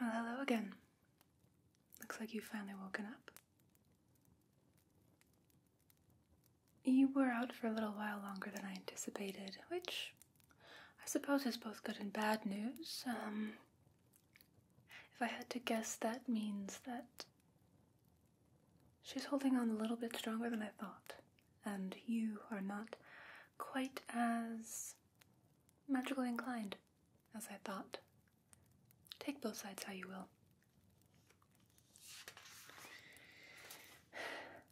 Well, hello again. Looks like you've finally woken up. You were out for a little while longer than I anticipated, which I suppose is both good and bad news. Um, if I had to guess, that means that she's holding on a little bit stronger than I thought, and you are not quite as magically inclined as I thought. Take both sides how you will.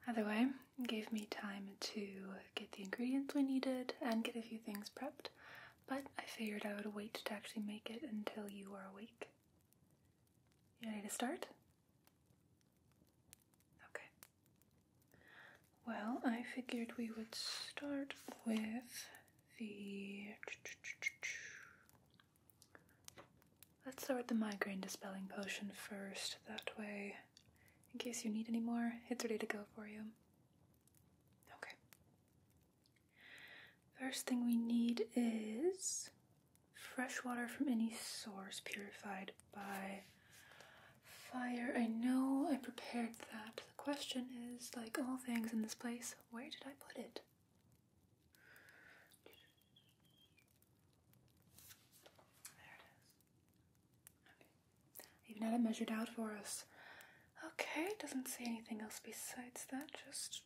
Either way, it gave me time to get the ingredients we needed and get a few things prepped, but I figured I would wait to actually make it until you are awake. ready to start? Okay. Well, I figured we would start with the Let's start the migraine dispelling potion first. That way, in case you need any more, it's ready to go for you. Okay. First thing we need is fresh water from any source purified by fire. I know I prepared that. The question is like all things in this place, where did I put it? There it is. Okay. Even had it measured out for us. Okay, doesn't say anything else besides that, just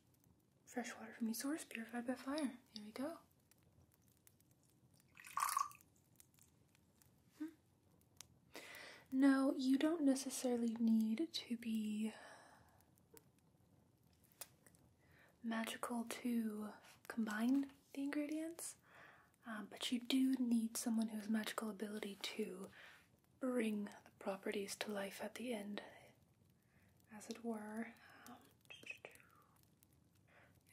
fresh water from the source, purified by fire. Here we go. Hmm. No, you don't necessarily need to be magical to combine the ingredients, um, but you do need someone who has magical ability to bring the properties to life at the end, as it were. Um,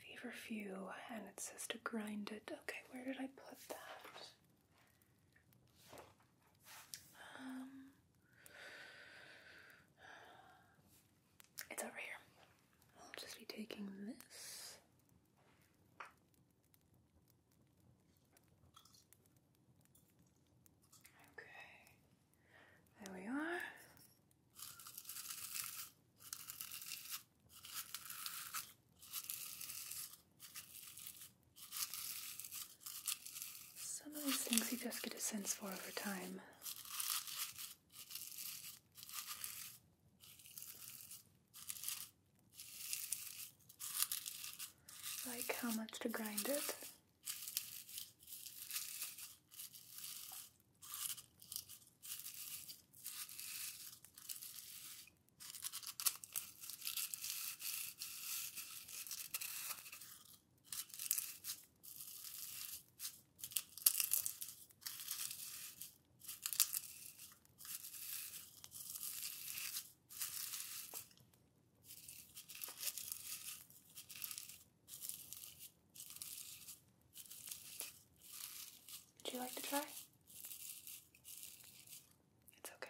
Feverfew, and it says to grind it. Okay, where did I put that? Um, it's over here. I'll just be taking this. Okay. There we are. Some of these things you just get a sense for over time. Like how much to grind it. Would you like to try? It's okay.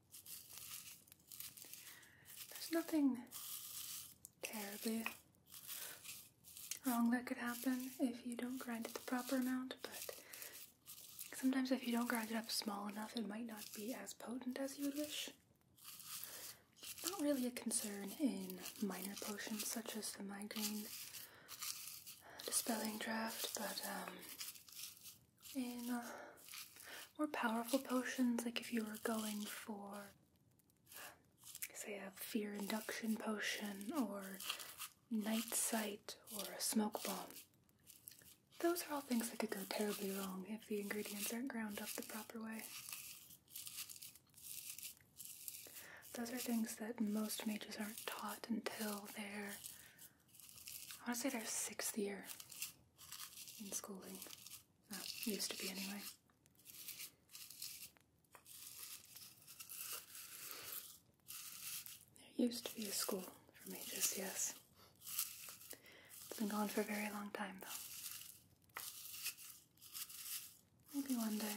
There's nothing terribly wrong that could happen if you don't grind it the proper amount, but sometimes if you don't grind it up small enough, it might not be as potent as you would wish. Not really a concern in minor potions such as the migraine dispelling draft, but um, in uh, more powerful potions, like if you were going for, say, a fear induction potion or night sight or a smoke bomb. Those are all things that could go terribly wrong if the ingredients aren't ground up the proper way. Those are things that most mages aren't taught until their, I want to say their sixth year in schooling used to be anyway. There used to be a school for me, just yes. It's been gone for a very long time, though. Maybe one day.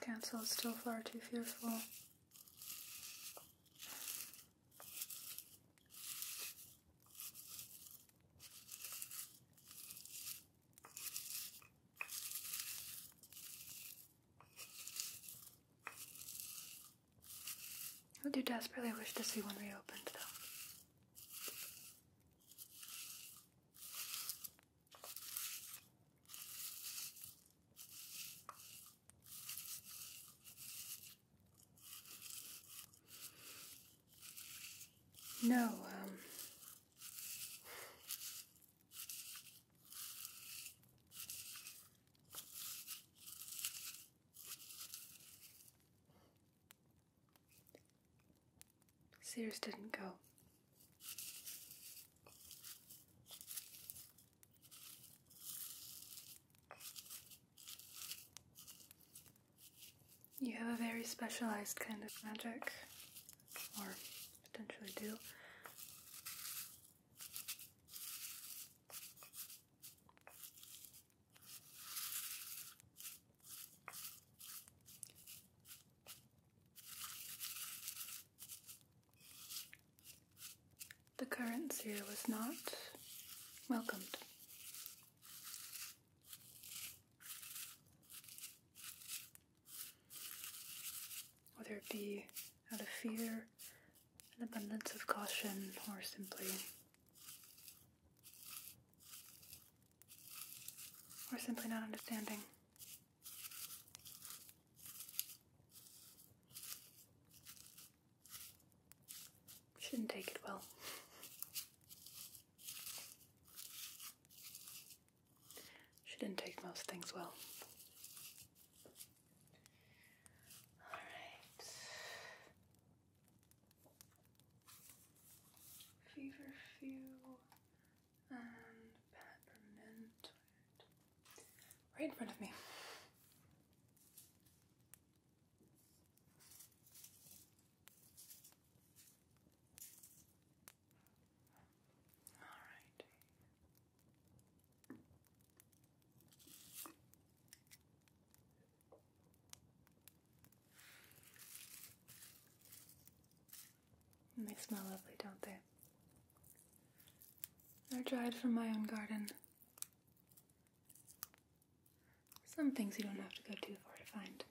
Council is still far too fearful I do desperately wish to see one reopened though. No, um. Sears didn't go. You have a very specialized kind of magic, or potentially do. The current year was not welcomed. Whether it be out of fear, an abundance of caution, or simply or simply not understanding. Shouldn't take it well. She did not take most things well. All right. Fever and Peppermint right in front of me. All right. they smell lovely, don't they? They're dried from my own garden. Some things you don't have to go too far to find.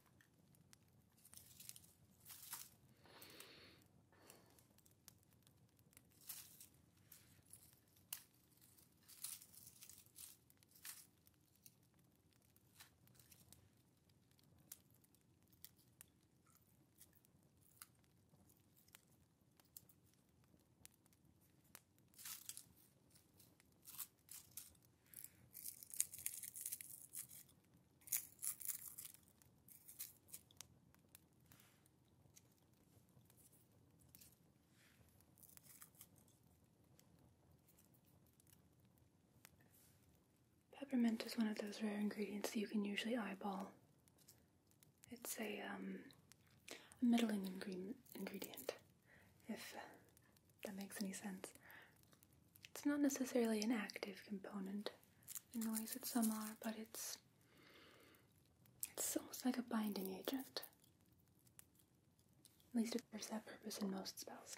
Peppermint is one of those rare ingredients that you can usually eyeball it's a, um, middling ingredient, if that makes any sense. It's not necessarily an active component in the ways that some are, but it's it's almost like a binding agent. At least it serves that purpose in most spells.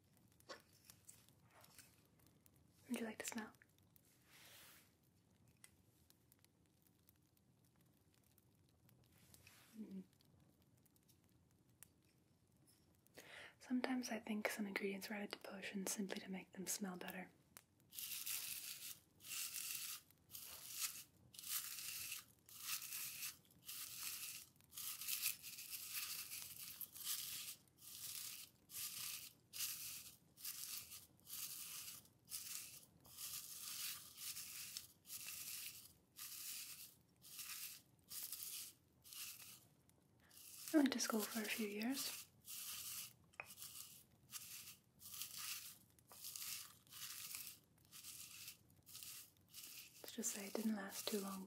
Would you like to smell? Mm-hmm. Sometimes I think some ingredients are added to potions simply to make them smell better. I went to school for a few years. Let's just say it didn't last too long.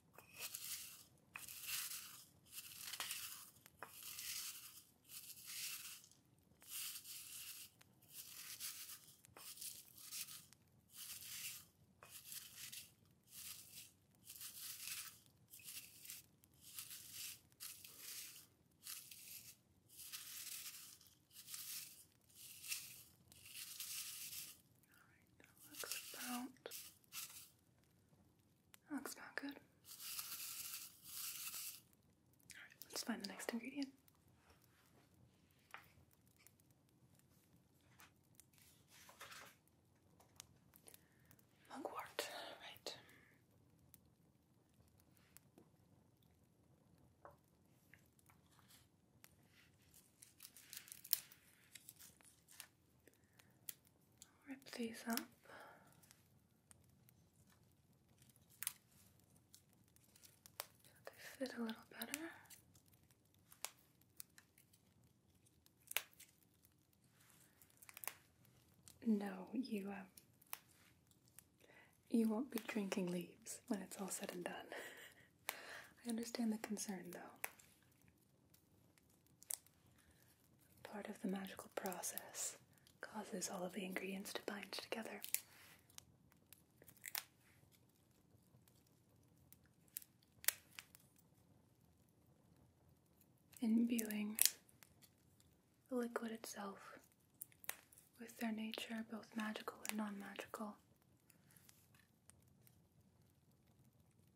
All right, that looks about that looks not good. Alright, let's find the next ingredient. Mugwort, right rip these up. they fit a little better. No, you, um, you won't be drinking leaves when it's all said and done. I understand the concern, though. Part of the magical process causes all of the ingredients to bind together. Imbuing the liquid itself with their nature, both magical and non magical.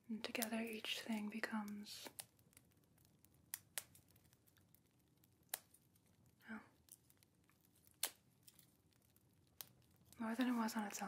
And together each thing becomes Oh. More than it was on its own.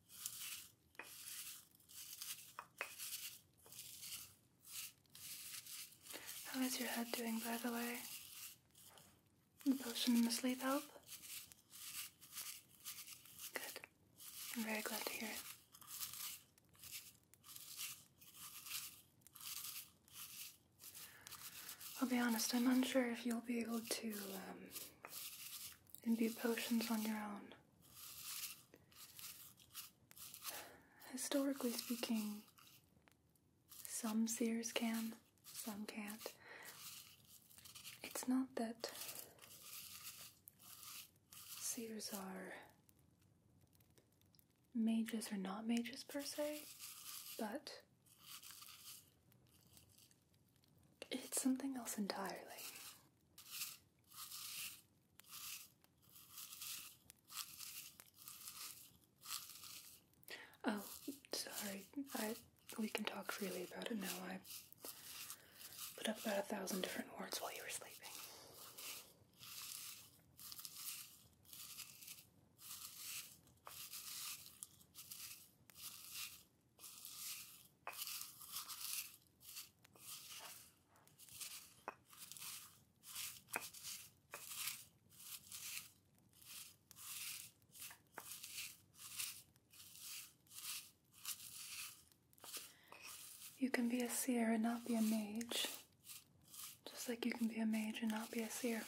How is your head doing, by the way? The potion and the sleep help? Good. I'm very glad to hear it. I'll be honest, I'm unsure if you'll be able to um, imbue potions on your own. Historically speaking, some seers can, some can't. It's not that seers are mages or not mages per se, but it's something else entirely. Oh, sorry. I we can talk freely about it now. I put up about a thousand different words while you were sleeping. You can be a seer and not be a mage, just like you can be a mage and not be a seer.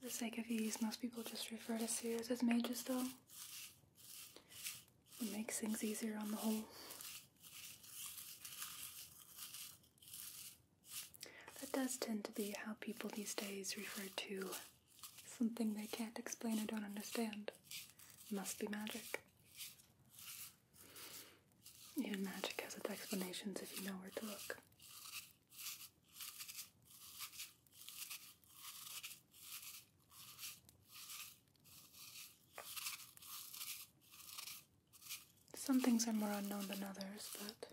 For the sake of ease, most people just refer to seers as mages, though. It makes things easier on the whole. That does tend to be how people these days refer to something they can't explain or don't understand. It must be magic. Even magic has its explanations if you know where to look. Some things are more unknown than others, but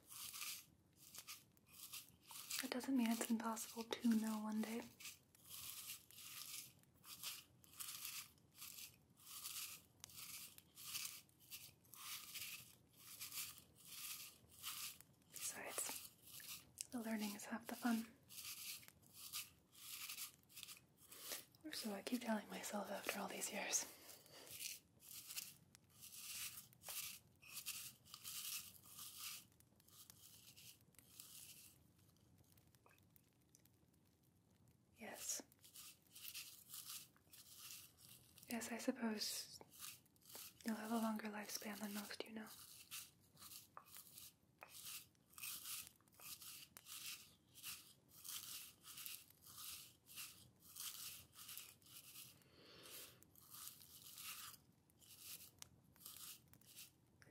that doesn't mean it's impossible to know one day. Besides, the learning is half the fun. Or so I keep telling myself after all these years. Yes. Yes, I suppose you'll have a longer lifespan than most, you know.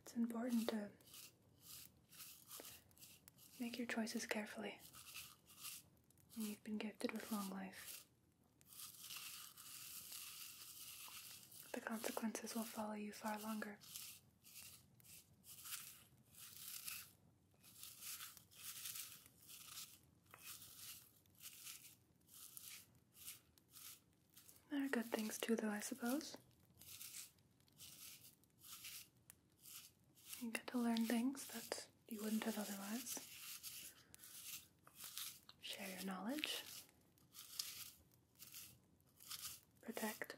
It's important to Make your choices carefully. And you've been gifted with long life. The consequences will follow you far longer. There are good things too, though, I suppose. You get to learn things that you wouldn't have otherwise. Share your knowledge. Protect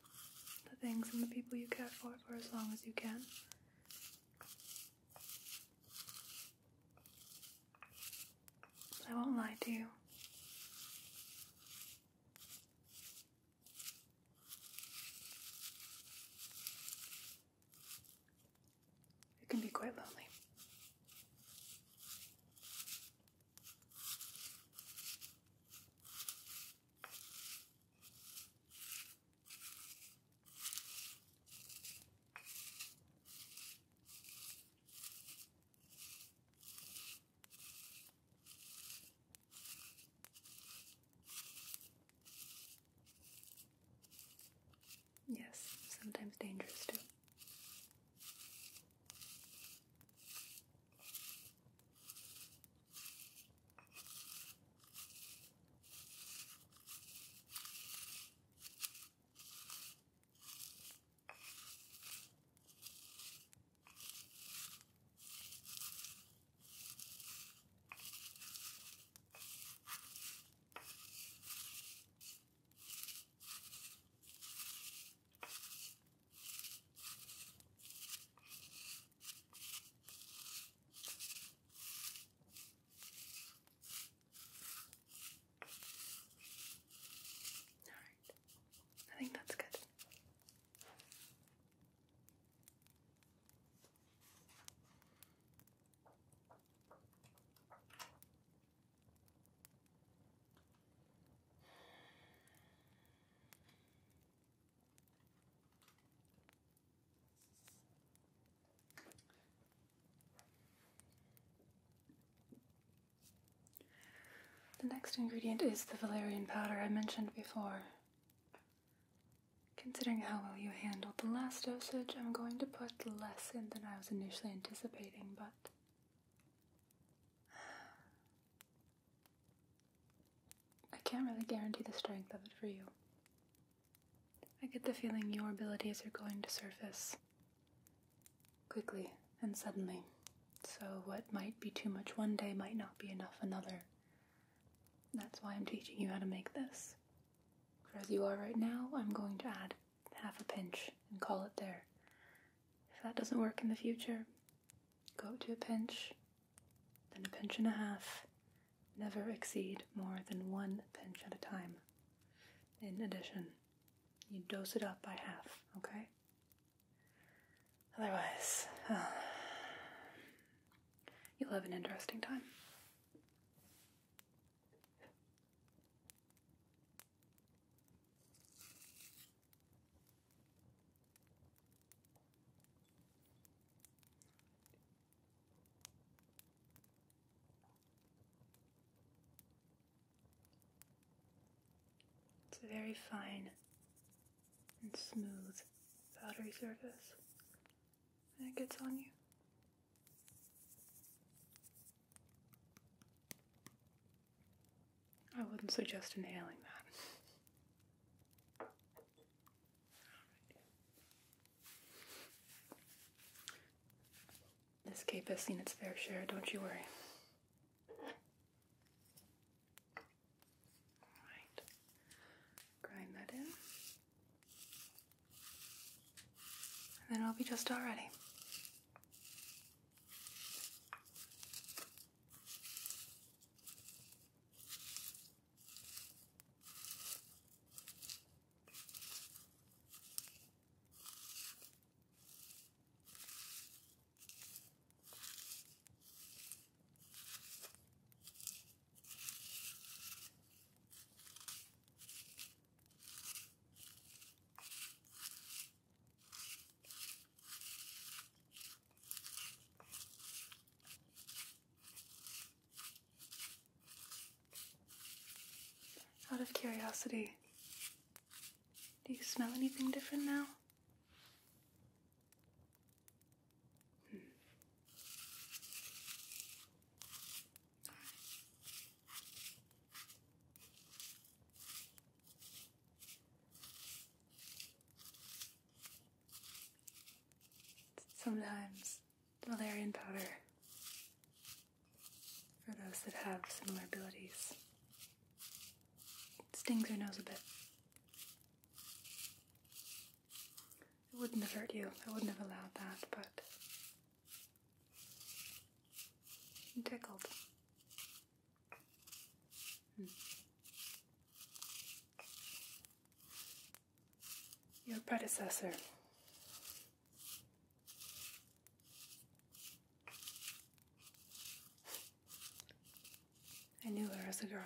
the things and the people you care for for as long as you can. I won't lie to you. It can be quite lonely. Yes, sometimes dangerous too. All right. I think that's good. The next ingredient is the valerian powder I mentioned before. Considering how well you handled the last dosage, I'm going to put less in than I was initially anticipating, but. I can't really guarantee the strength of it for you. I get the feeling your abilities are going to surface quickly and suddenly, so what might be too much one day might not be enough another. That's why I'm teaching you how to make this. For as you are right now, I'm going to add half a pinch and call it there. If that doesn't work in the future, go to a pinch, then a pinch and a half. Never exceed more than one pinch at a time. In addition, you dose it up by half, okay? Otherwise, uh, You'll have an interesting time. It's a very fine and smooth powdery surface it gets on you. I wouldn't suggest inhaling that. This cape has seen its fair share, don't you worry. Alright, grind that in. And then we will be just all ready. Out of curiosity, do you smell anything different now? Hmm. All right. Sometimes valerian powder for those that have similar abilities stings your nose a bit. It wouldn't have hurt you. I wouldn't have allowed that, but i tickled. Hmm. Your predecessor. I knew her as a girl.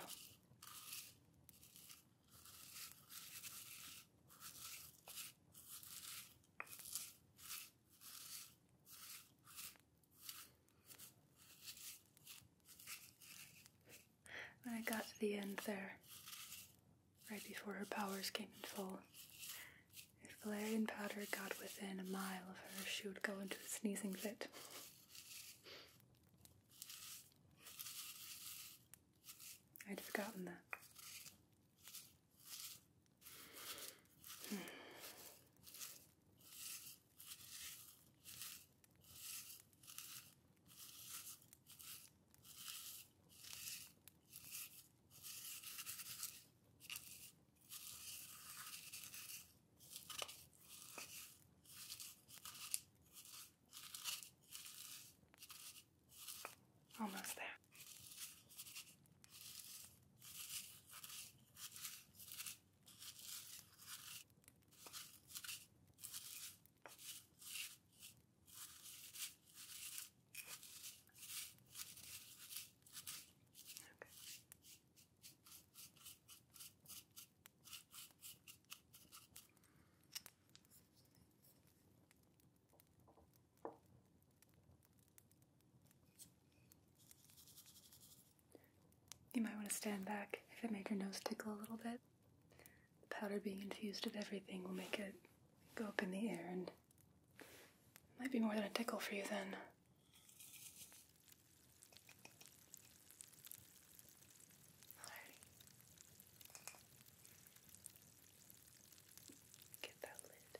When I got to the end there, right before her powers came in full, if Valerian powder got within a mile of her, she would go into a sneezing fit. I'd forgotten that. Almost there. Okay. You might want to stand back if it made your nose tickle a little bit. The powder being infused with everything will make it go up in the air and might be more than a tickle for you then. Get that lid.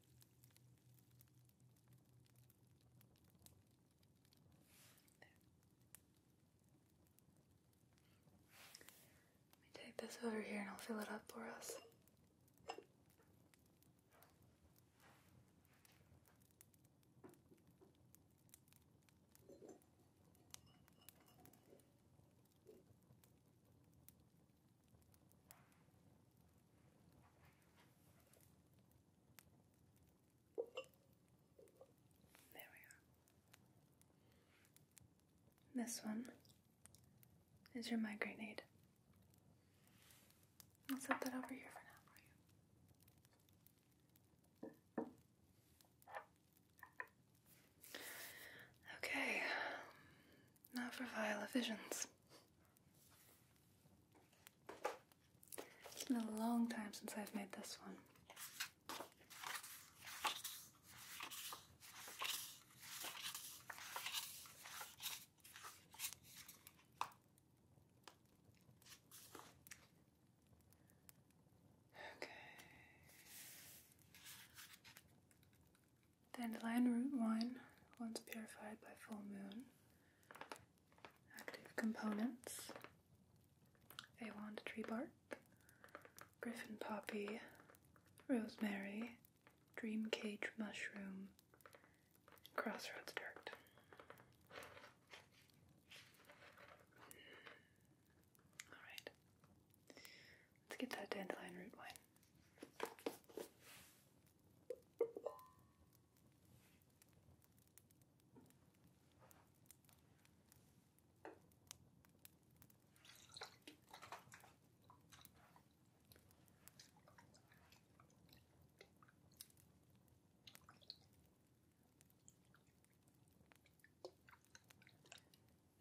Let me take this over here and I'll fill it up for us. There we are. This one is your migraine aid. I'll set that over here for now Okay, not for Viola Visions. It's been a long time since I've made this one. Okay. Dandelion root wine, once purified by full moon. Active components a wand tree bark, griffin poppy, rosemary, dream cage mushroom, crossroads dirt. Alright, let's get that dandelion root wine.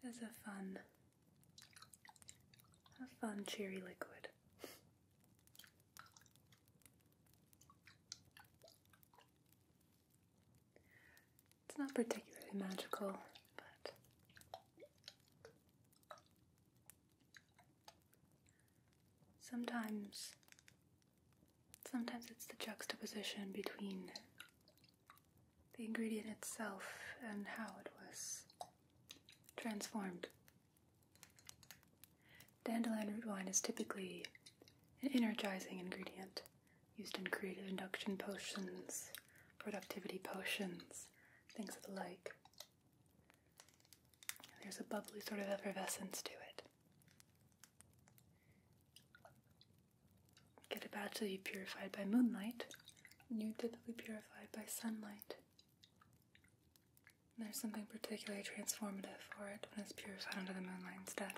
There's a fun a fun, cherry liquid. It's not particularly magical, but sometimes sometimes it's the juxtaposition between the ingredient itself and how it was transformed. Dandelion root wine is typically an energizing ingredient used in creative induction potions, productivity potions, things of the like. There's a bubbly sort of effervescence to it. Get a batch that you purified by moonlight, and you typically purify by sunlight there's something particularly transformative for it when it's purified under the moonlight instead.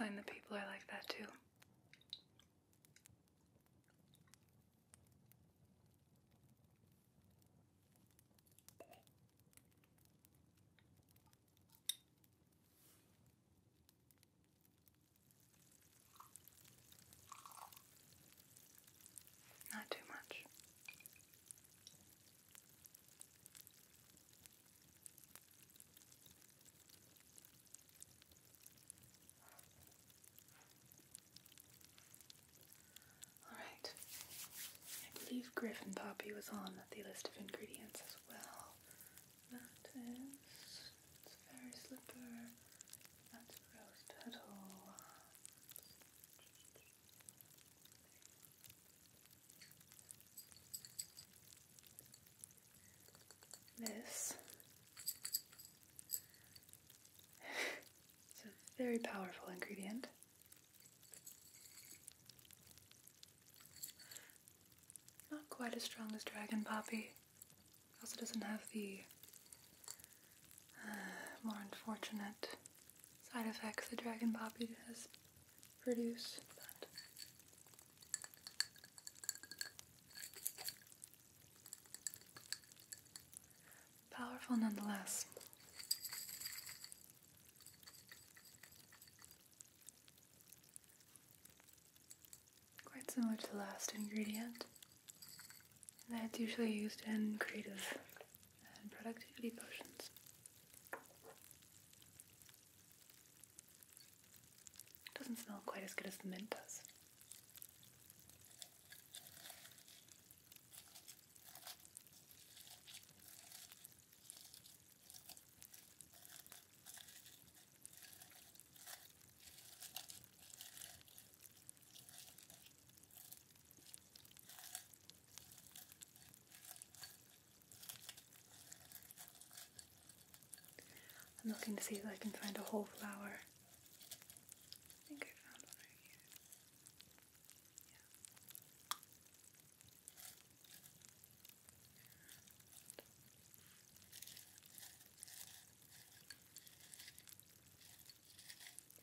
I find that people are like that too. Not too much. Alright, I believe Griffin Poppy was on the list of ingredients as well. That is, it's a that's rose petal. This is a very powerful ingredient. Not quite as strong as dragon poppy, also doesn't have the uh, more unfortunate side effects the Dragon Poppy has produced. But powerful nonetheless. Quite similar to the last ingredient that's usually used in creative and productivity potions. It doesn't smell quite as good as the mint does. I'm looking to see if I can find a whole flower. I think I found one right here. Yeah.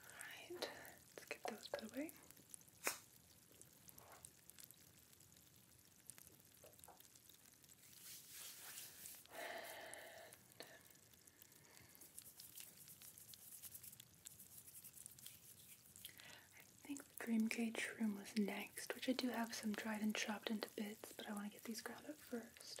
Alright, let's get those put away. I think the dream cage room was next, which I do have some dried and chopped into bits, but I want to get these ground up first.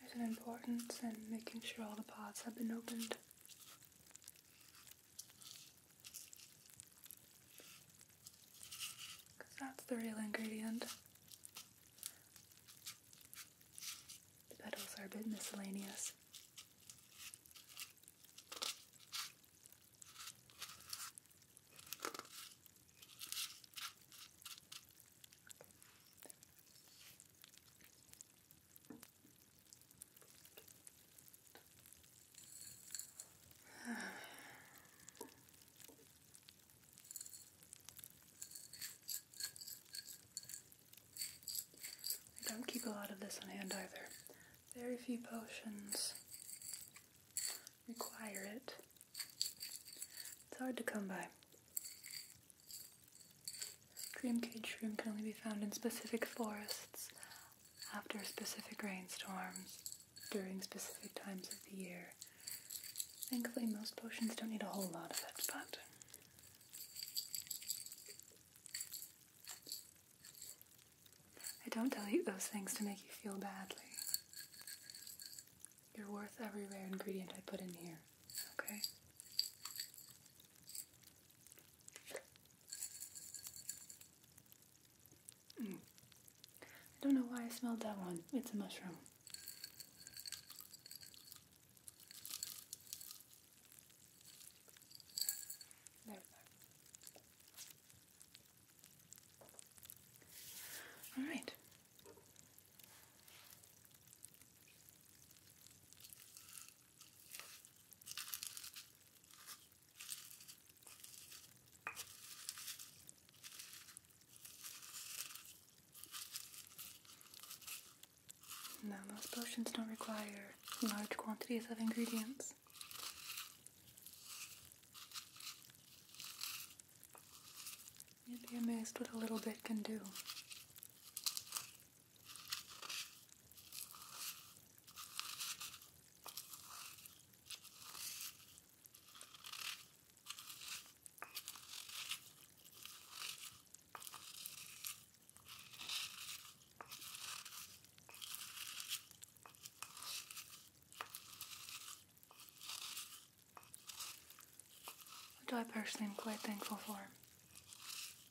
There's an importance in making sure all the pods have been opened. Because that's the real ingredient. The petals are a bit miscellaneous. I don't keep a lot of this on hand either. Very few potions require it. It's hard to come by. Dream cage shroom can only be found in specific forests, after specific rainstorms, during specific times of the year. Thankfully, most potions don't need a whole lot of it, but. I don't tell you those things to make you feel badly. You're worth every rare ingredient I put in here. Okay. Mm. I don't know why I smelled that one. It's a mushroom. There we go. All right. Now most potions don't require large quantities of ingredients. You'd be amazed what a little bit can do. What do I personally am quite thankful for?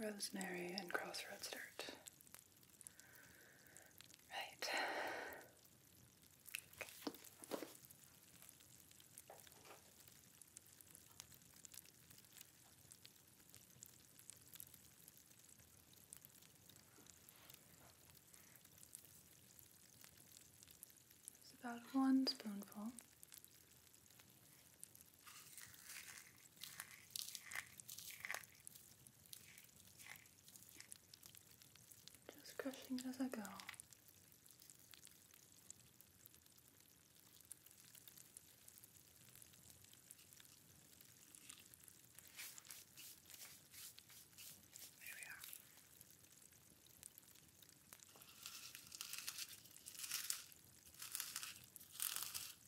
rosemary and crossroads dirt. Right. It's about one spoonful just crushing it as I go. There we are.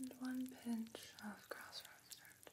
And one pinch of grass rosemary.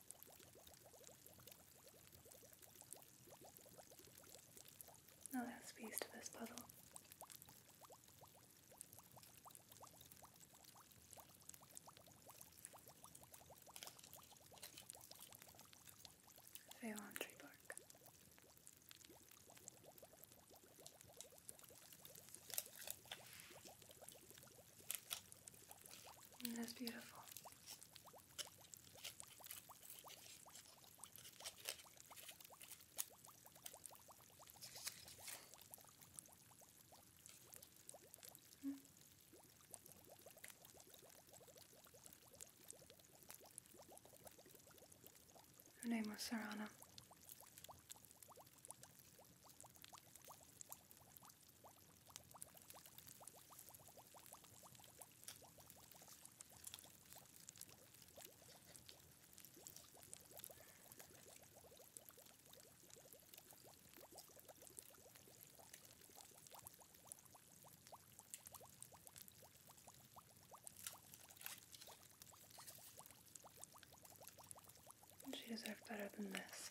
No last piece to this puzzle. Ceylon tree bark. And mm, that's beautiful. Her name was Sarana. She deserves better than this.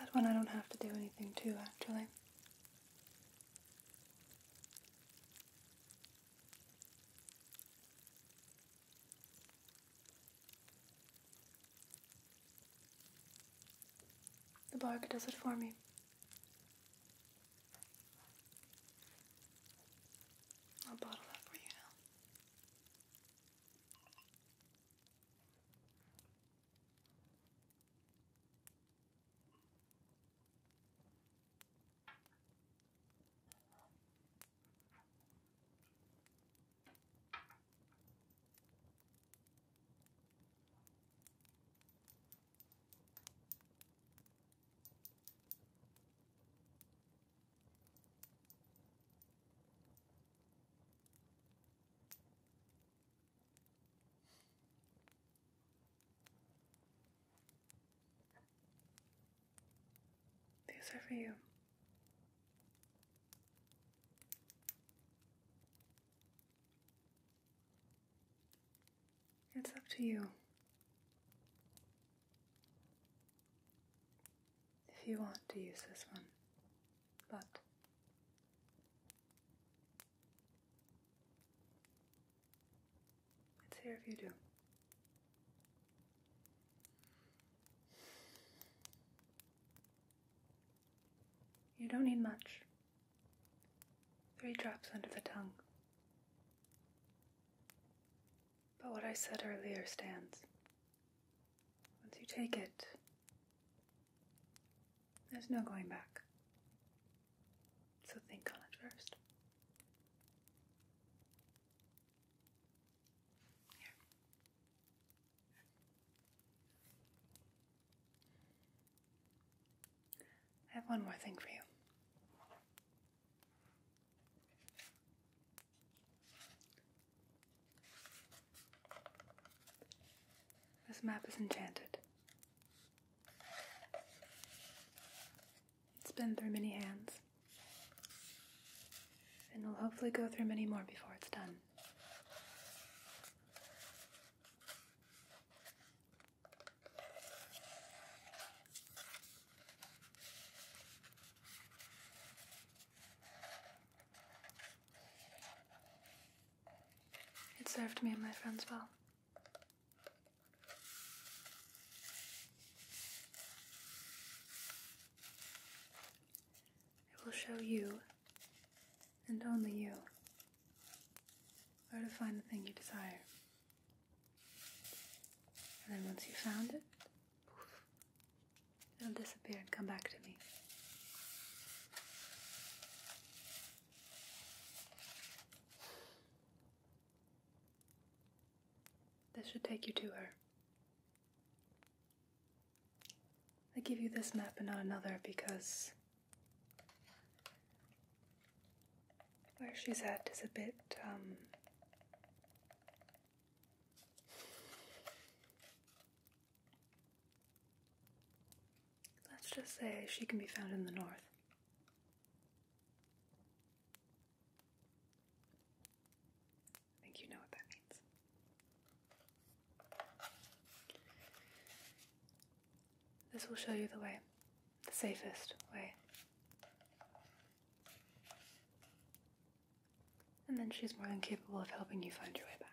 That one I don't have to do anything to, actually. The bark does it for me. I'll bottle up for you now. These are for you. It's up to you. If you want to use this one, but it's here if you do. You don't need much. Three drops under the tongue. But what I said earlier stands. Once you take it, there's no going back. So think on it first. Here. I have one more thing for you. This map is enchanted. It's been through many hands, and will hopefully go through many more before it's done. It served me and my friends well. It will show you, and only you, where to find the thing you desire. And then once you found it, it'll disappear and come back to me. This should take you to her. I give you this map and not another because where she's at is a bit, um, let's just say she can be found in the north. I think you know what that means. This will show you the way, the safest way. And then she's more than capable of helping you find your way back.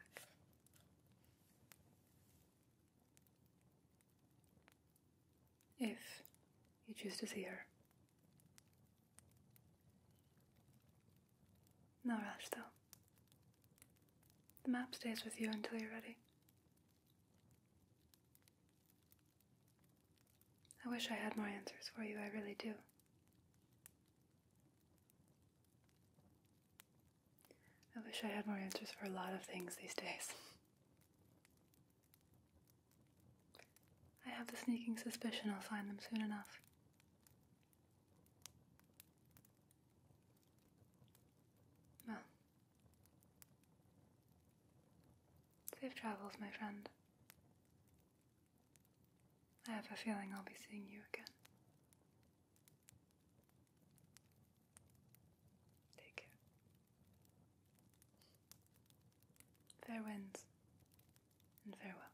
If you choose to see her. No rush though. The map stays with you until you're ready. I wish I had more answers for you, I really do. I wish I had more answers for a lot of things these days. I have the sneaking suspicion I'll find them soon enough safe travels, my friend. I have a feeling I'll be seeing you again. Take care. Fair winds and farewell.